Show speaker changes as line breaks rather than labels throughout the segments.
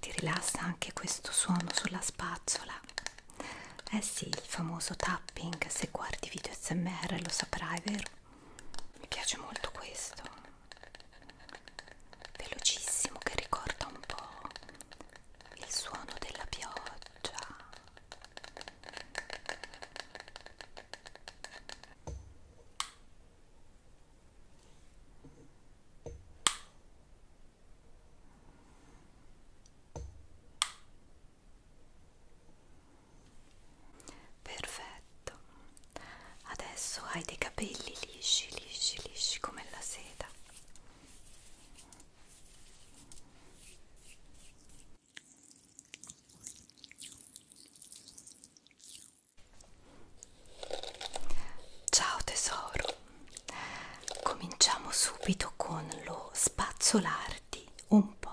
Ti rilassa anche questo suono sulla spazzola eh sì, il famoso tapping, se guardi video smr lo saprai, vero? Mi piace molto questo, velocissimo che ricorda un po' il suono della pioggia. Perfetto, adesso hai dei capelli lisci, lisci, lisci come la seta. Ciao tesoro cominciamo subito con lo spazzolarti un po'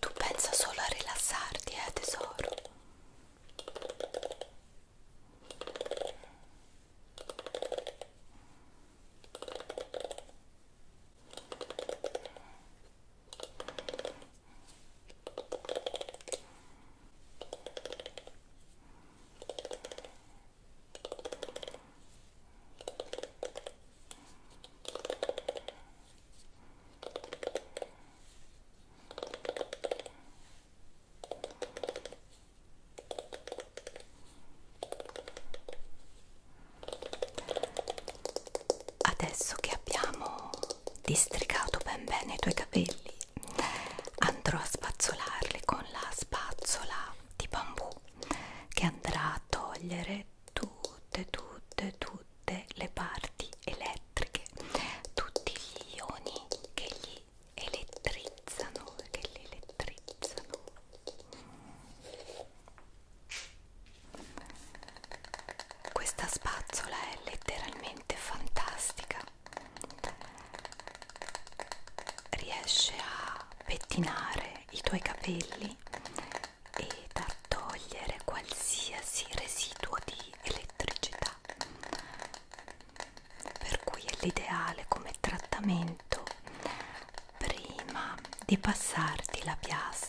Tu pensa solo a rilassarti, eh tesoro. Adesso che abbiamo districato ben bene i tuoi capelli andrò a spazzolarli con la spazzola di bambù che andrà a togliere tutte tutte tutte le parti elettriche tutti gli ioni che gli elettrizzano che li elettrizzano questa spazzola è letteralmente fantastica riesce a pettinare i tuoi capelli ed a togliere qualsiasi residuo di elettricità per cui è l'ideale come trattamento prima di passarti la piastra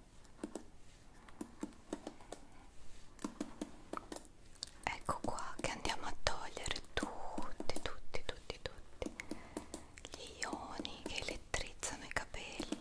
ecco qua che andiamo a togliere tutti tutti tutti tutti gli ioni che elettrizzano i capelli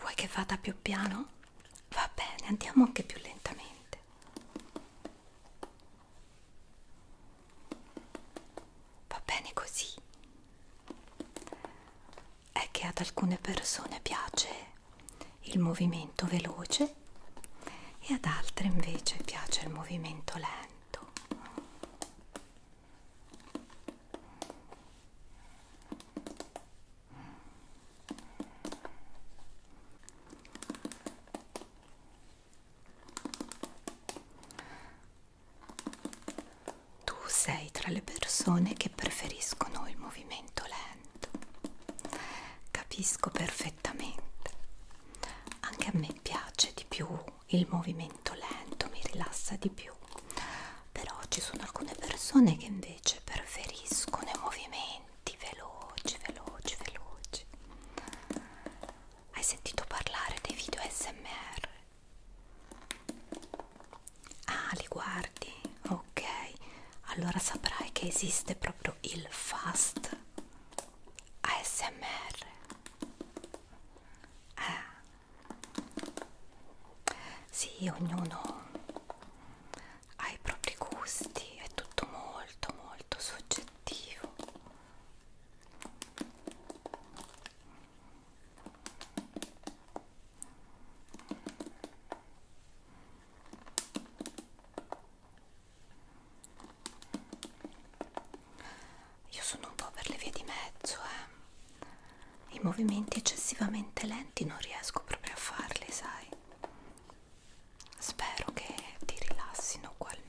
Vuoi che vada più piano? va bene andiamo anche più lentamente va bene così è che ad alcune persone piace il movimento veloce e ad altre invece piace il movimento lento tu sei tra le persone che preferiscono il movimento lento. Capisco perfettamente. Anche a me piace di più il movimento lento, mi rilassa di più però ci sono alcune persone che invece preferiscono i movimenti veloci veloci veloci hai sentito parlare dei video smr ah li guardi ok allora saprai che esiste proprio il fast ASMR eh. sì ognuno ai propri gusti, è tutto molto molto soggettivo. Io sono un po' per le vie di mezzo, eh i movimenti eccessivamente lenti non riesco proprio a farli, sai? Spero che ti rilassino ugualmente.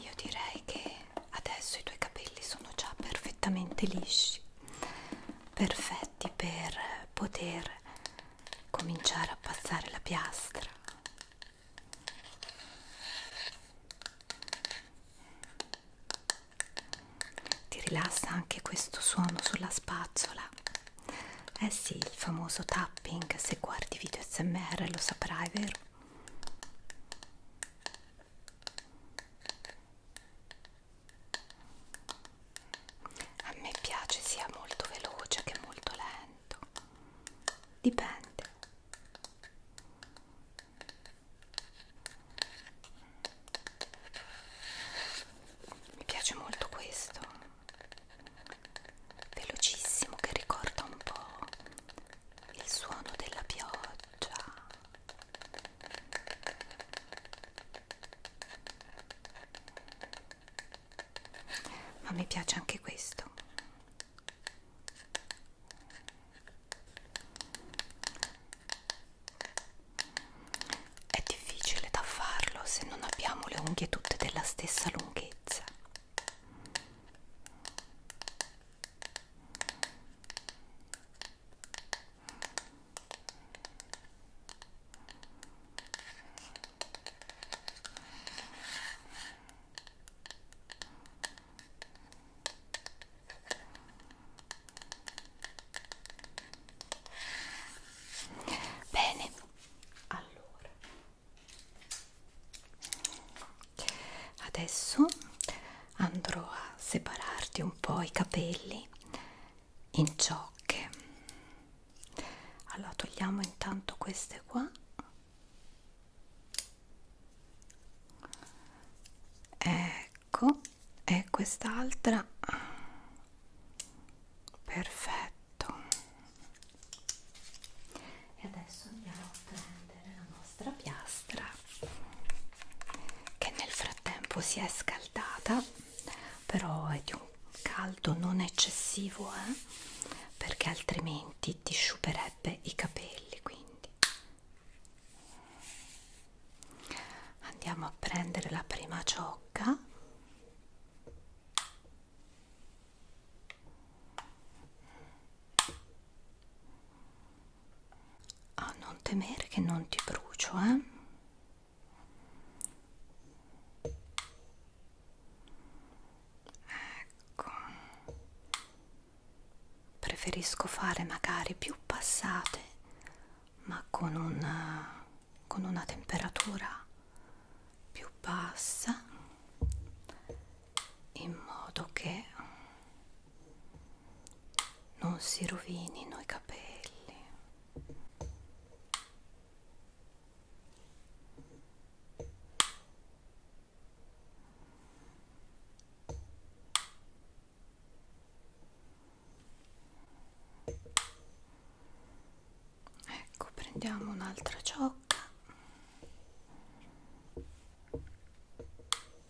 io direi che adesso i tuoi capelli sono già perfettamente lisci perfetti per poter cominciare a passare la piastra ti rilassa anche questo suono sulla spazzola eh sì il famoso tapping se guardi video smr lo saprai vero a me piace sia molto veloce che molto lento, dipende. Mi piace molto questo, velocissimo che ricorda un po' il suono della pioggia ma mi piace anche questo è difficile da farlo se non abbiamo le unghie tutte della stessa lunghezza Bene, allora adesso andrò a separarti un po' i capelli in ciocche allora togliamo intanto queste qua ecco e quest'altra perfetto e adesso andiamo a prendere la nostra nostra piastra che nel frattempo si è scaldata però è di un caldo non eccessivo eh? perché altrimenti ti sciuperebbe i capelli quindi andiamo a prendere la prima ciocca a oh, non temere che non ti brucio eh ecco preferisco fare magari più passate ma con una con una temperatura più bassa in modo che non si rovinino i capelli ecco prendiamo un'altra ciocca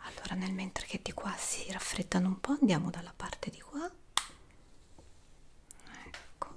Allora nel mentre che di qua si raffreddano un po' andiamo dalla parte di qua. Ecco.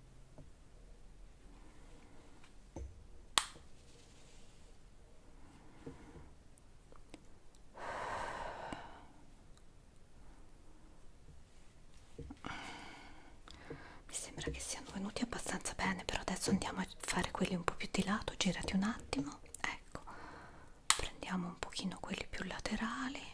Mi sembra che siano venuti abbastanza bene, però adesso andiamo a fare quelli un po' più di lato, girati un attimo, ecco, prendiamo un pochino quelli più laterali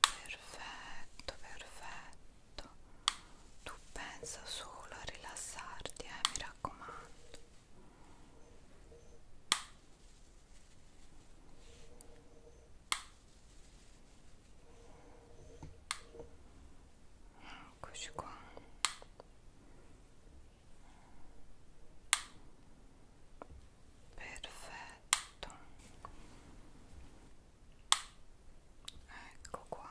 Perfetto, perfetto. Tu pensa solo a rilassarti, eh, mi raccomando. Eccoci qua. Perfetto. Ecco qua.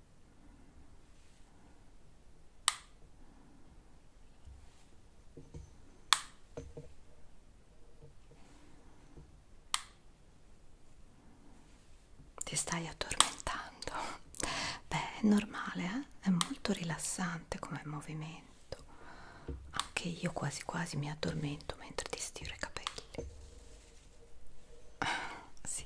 Ti stai addormentando? Beh, è normale, eh? è molto rilassante come movimento. Anche io quasi quasi mi addormento mentre ti stiro i capelli. sì.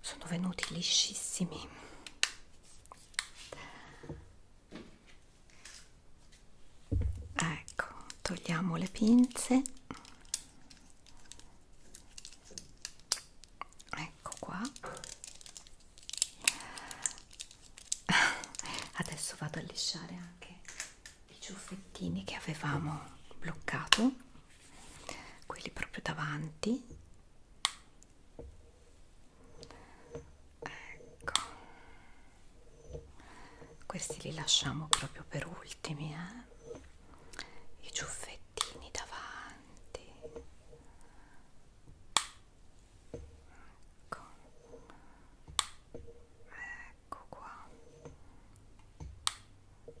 sono venuti liscissimi ecco togliamo le pinze ecco qua adesso vado a lisciare anche i ciuffettini che avevamo bloccato quelli proprio davanti ecco questi li lasciamo proprio per ultimi eh? i ciuffettini davanti Ecco. Ecco qua. Ecco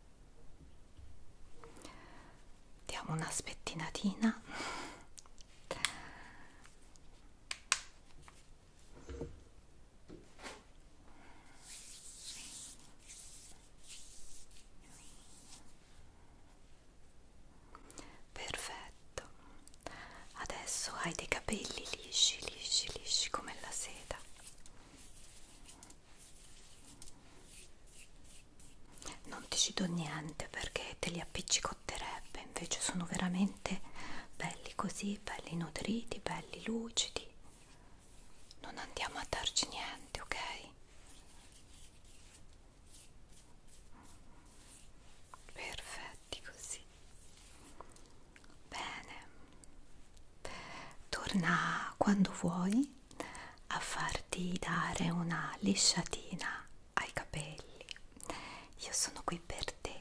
diamo una spettinatina perfetto adesso hai dei capelli lisci lisci lisci come la seta non ti ci do niente perché te li appiccicotterebbe invece sono veramente belli così belli nutriti belli lucidi non andiamo a darci niente ok perfetti così bene torna quando vuoi a farti dare una lisciatina ai capelli. Io sono qui per te.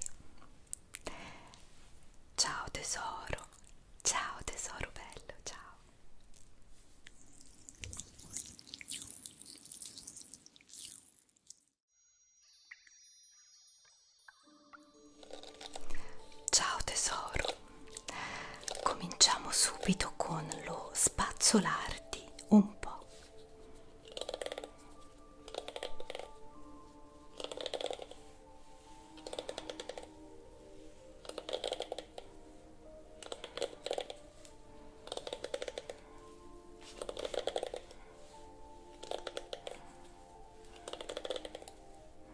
Ciao tesoro, ciao tesoro bello, ciao. Ciao tesoro, cominciamo subito con lo spazzolarti un po'.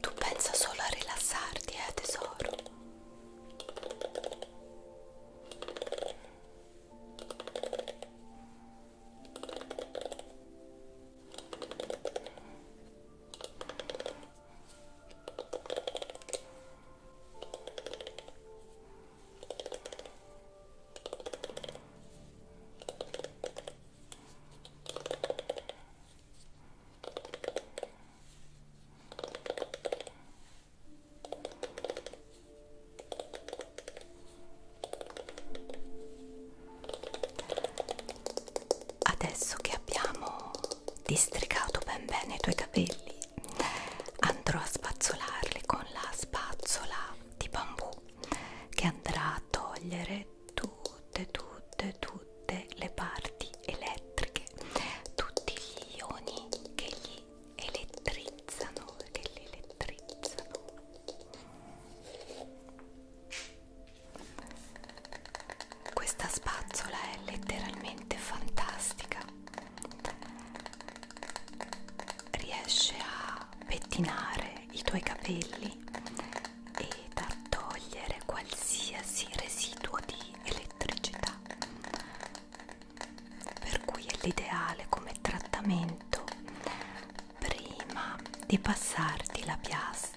Tu pensa solo a rilassarti, eh tesoro. Adesso che abbiamo districato ben bene i tuoi capelli andrò a spazzolarli con la spazzola di bambù che andrà a togliere tutte tutte tutte le parti elettriche tutti gli ioni che gli elettrizzano che li elettrizzano questa spazzola è letteralmente fantastica riesce a pettinare i tuoi capelli ed a togliere qualsiasi residuo di elettricità per cui è l'ideale come trattamento prima di passarti la piastra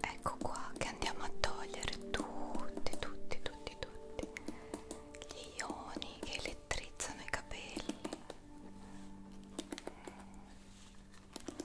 Ecco qua che andiamo a togliere tutti, tutti, tutti, tutti gli ioni che elettrizzano i capelli. Ecco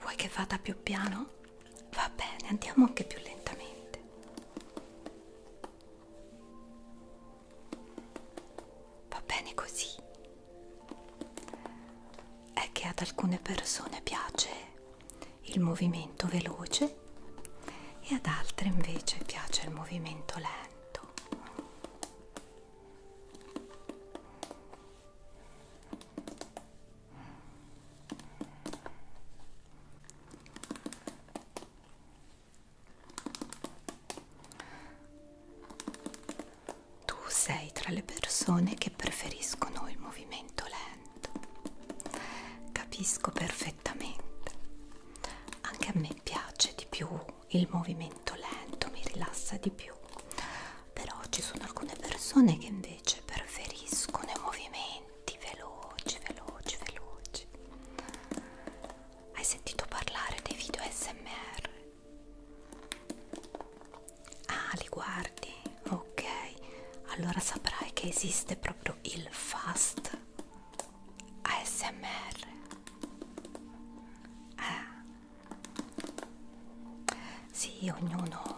Vuoi che vada più piano? Va bene, andiamo anche più lentamente. Va bene così. È che ad alcune persone piace il movimento veloce e ad altre invece piace il movimento lento. Tu sei tra le persone che preferiscono il movimento lento. Capisco perfettamente. Anche a me piace di più il movimento lento, mi rilassa di più però ci sono alcune persone che invece preferiscono i movimenti veloci veloci veloci hai sentito parlare dei video smr ah li guardi ok allora saprai che esiste proprio il fast ASMR. Ah, eh. Sì, ognuno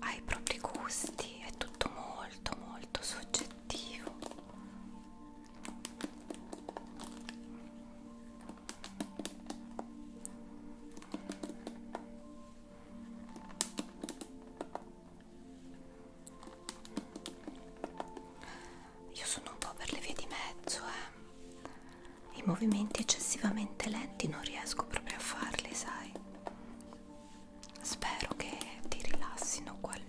ha i propri gusti, è tutto molto molto soggettivo. Io sono un po' per le vie di mezzo, eh i movimenti eccessivamente lenti non riesco proprio a farli, sai? Spero che ti rilassino ugualmente.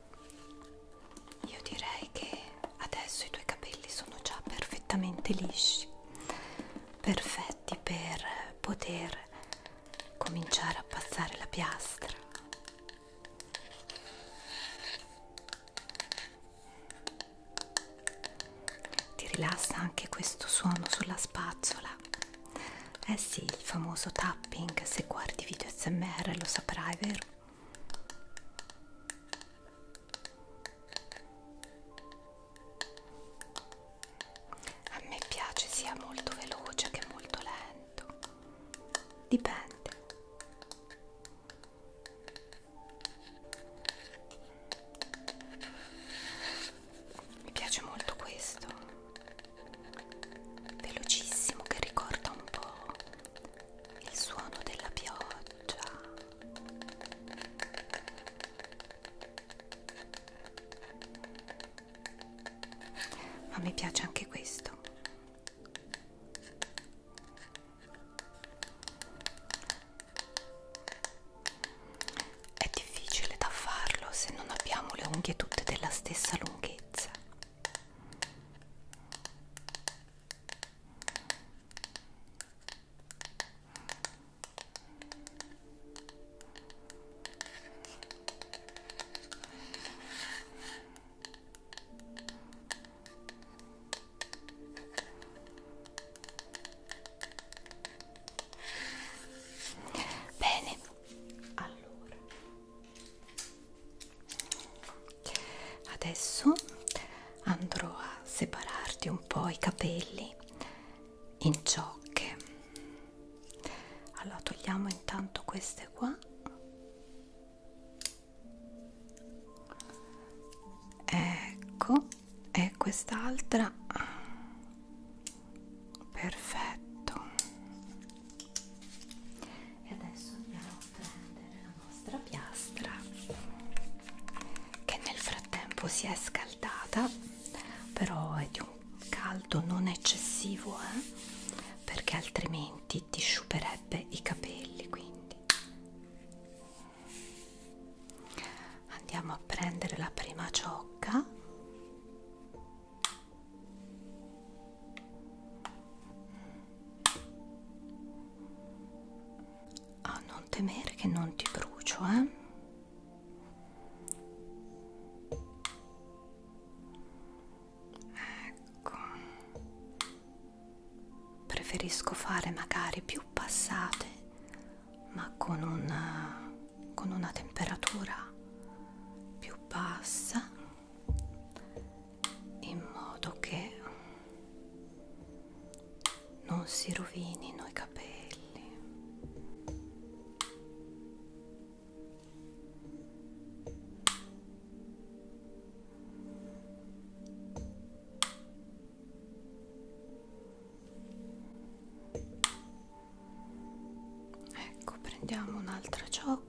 Io direi che adesso i tuoi capelli sono già perfettamente lisci, perfetti per poter cominciare a passare la piastra. Ti rilassa anche questo suono sulla spazzola. Eh sì, il famoso tapping, se guardi video smr lo saprai, vero? A me piace sia molto veloce che molto lento. Dipende. Mi piace molto questo. Velocissimo che ricorda un po' il suono della pioggia ma mi piace anche questo è difficile da farlo se non abbiamo le unghie tutte della stessa lunghezza Bene, allora adesso andrò a separarti un po' i capelli in ciocche allora togliamo intanto queste qua ecco e quest'altra perfetto e adesso andiamo a prendere nostra piastra che nel frattempo si è scaldata però è di un caldo non eccessivo eh? perché altrimenti ti sciuperebbe i capelli quindi andiamo a prendere la prima ciocca a ah, non temere che non ti brucio eh ecco preferisco fare magari più passate ma con una con una temperatura più bassa in modo che non si rovinino i capelli ecco prendiamo un'altra ciocca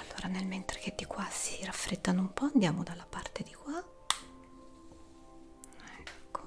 Allora nel mentre che di qua si raffreddano un po' andiamo dalla parte di qua. Ecco.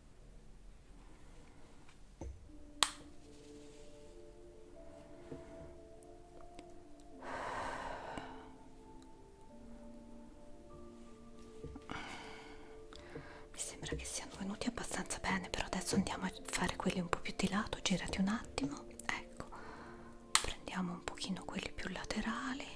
Mi sembra che siano venuti abbastanza bene, però adesso andiamo a fare quelli un po' più di lato, girati un attimo, ecco, prendiamo un pochino quelli più laterali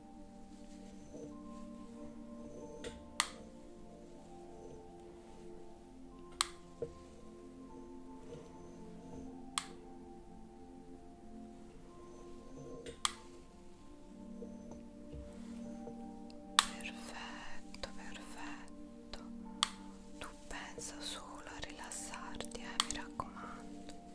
Perfetto, perfetto. Tu pensa solo a rilassarti, eh, mi raccomando.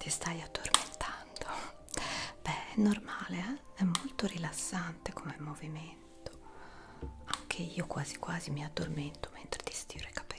Ti stai addormentando? Beh, è normale, eh? è molto rilassante come movimento. Anche io quasi quasi mi addormento mentre ti stiro i capelli.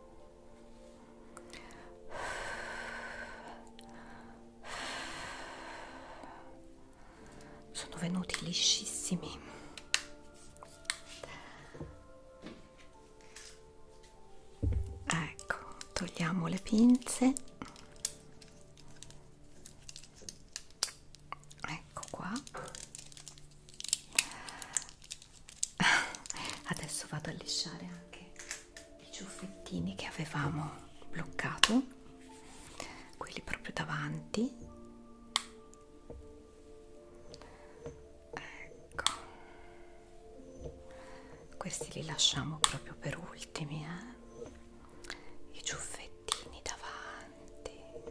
sono venuti liscissimi ecco togliamo le pinze ecco qua adesso vado a lisciare anche i ciuffettini che avevamo bloccato quelli proprio davanti ecco questi li lasciamo proprio per ultimi eh? i ciuffettini davanti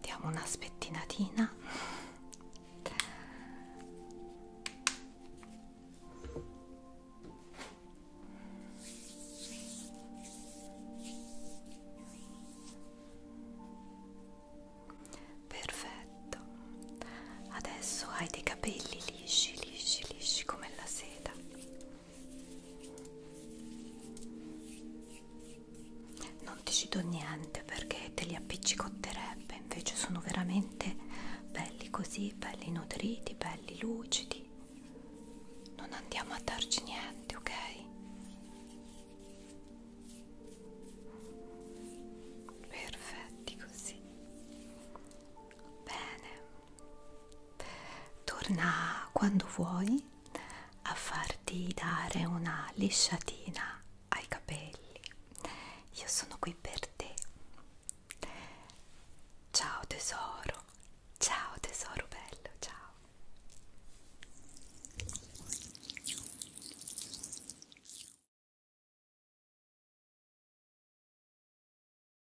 diamo una spettinatina perfetto adesso hai dei capelli lisci lisci lisci come la seta non ti ci do niente perché te li appiccicotterebbe invece sono veramente belli così belli nutriti belli lucidi non andiamo a darci niente ok perfetti così bene Torna quando vuoi a farti dare una lisciatina ai capelli. Io sono qui per te. Ciao tesoro, ciao tesoro bello, ciao.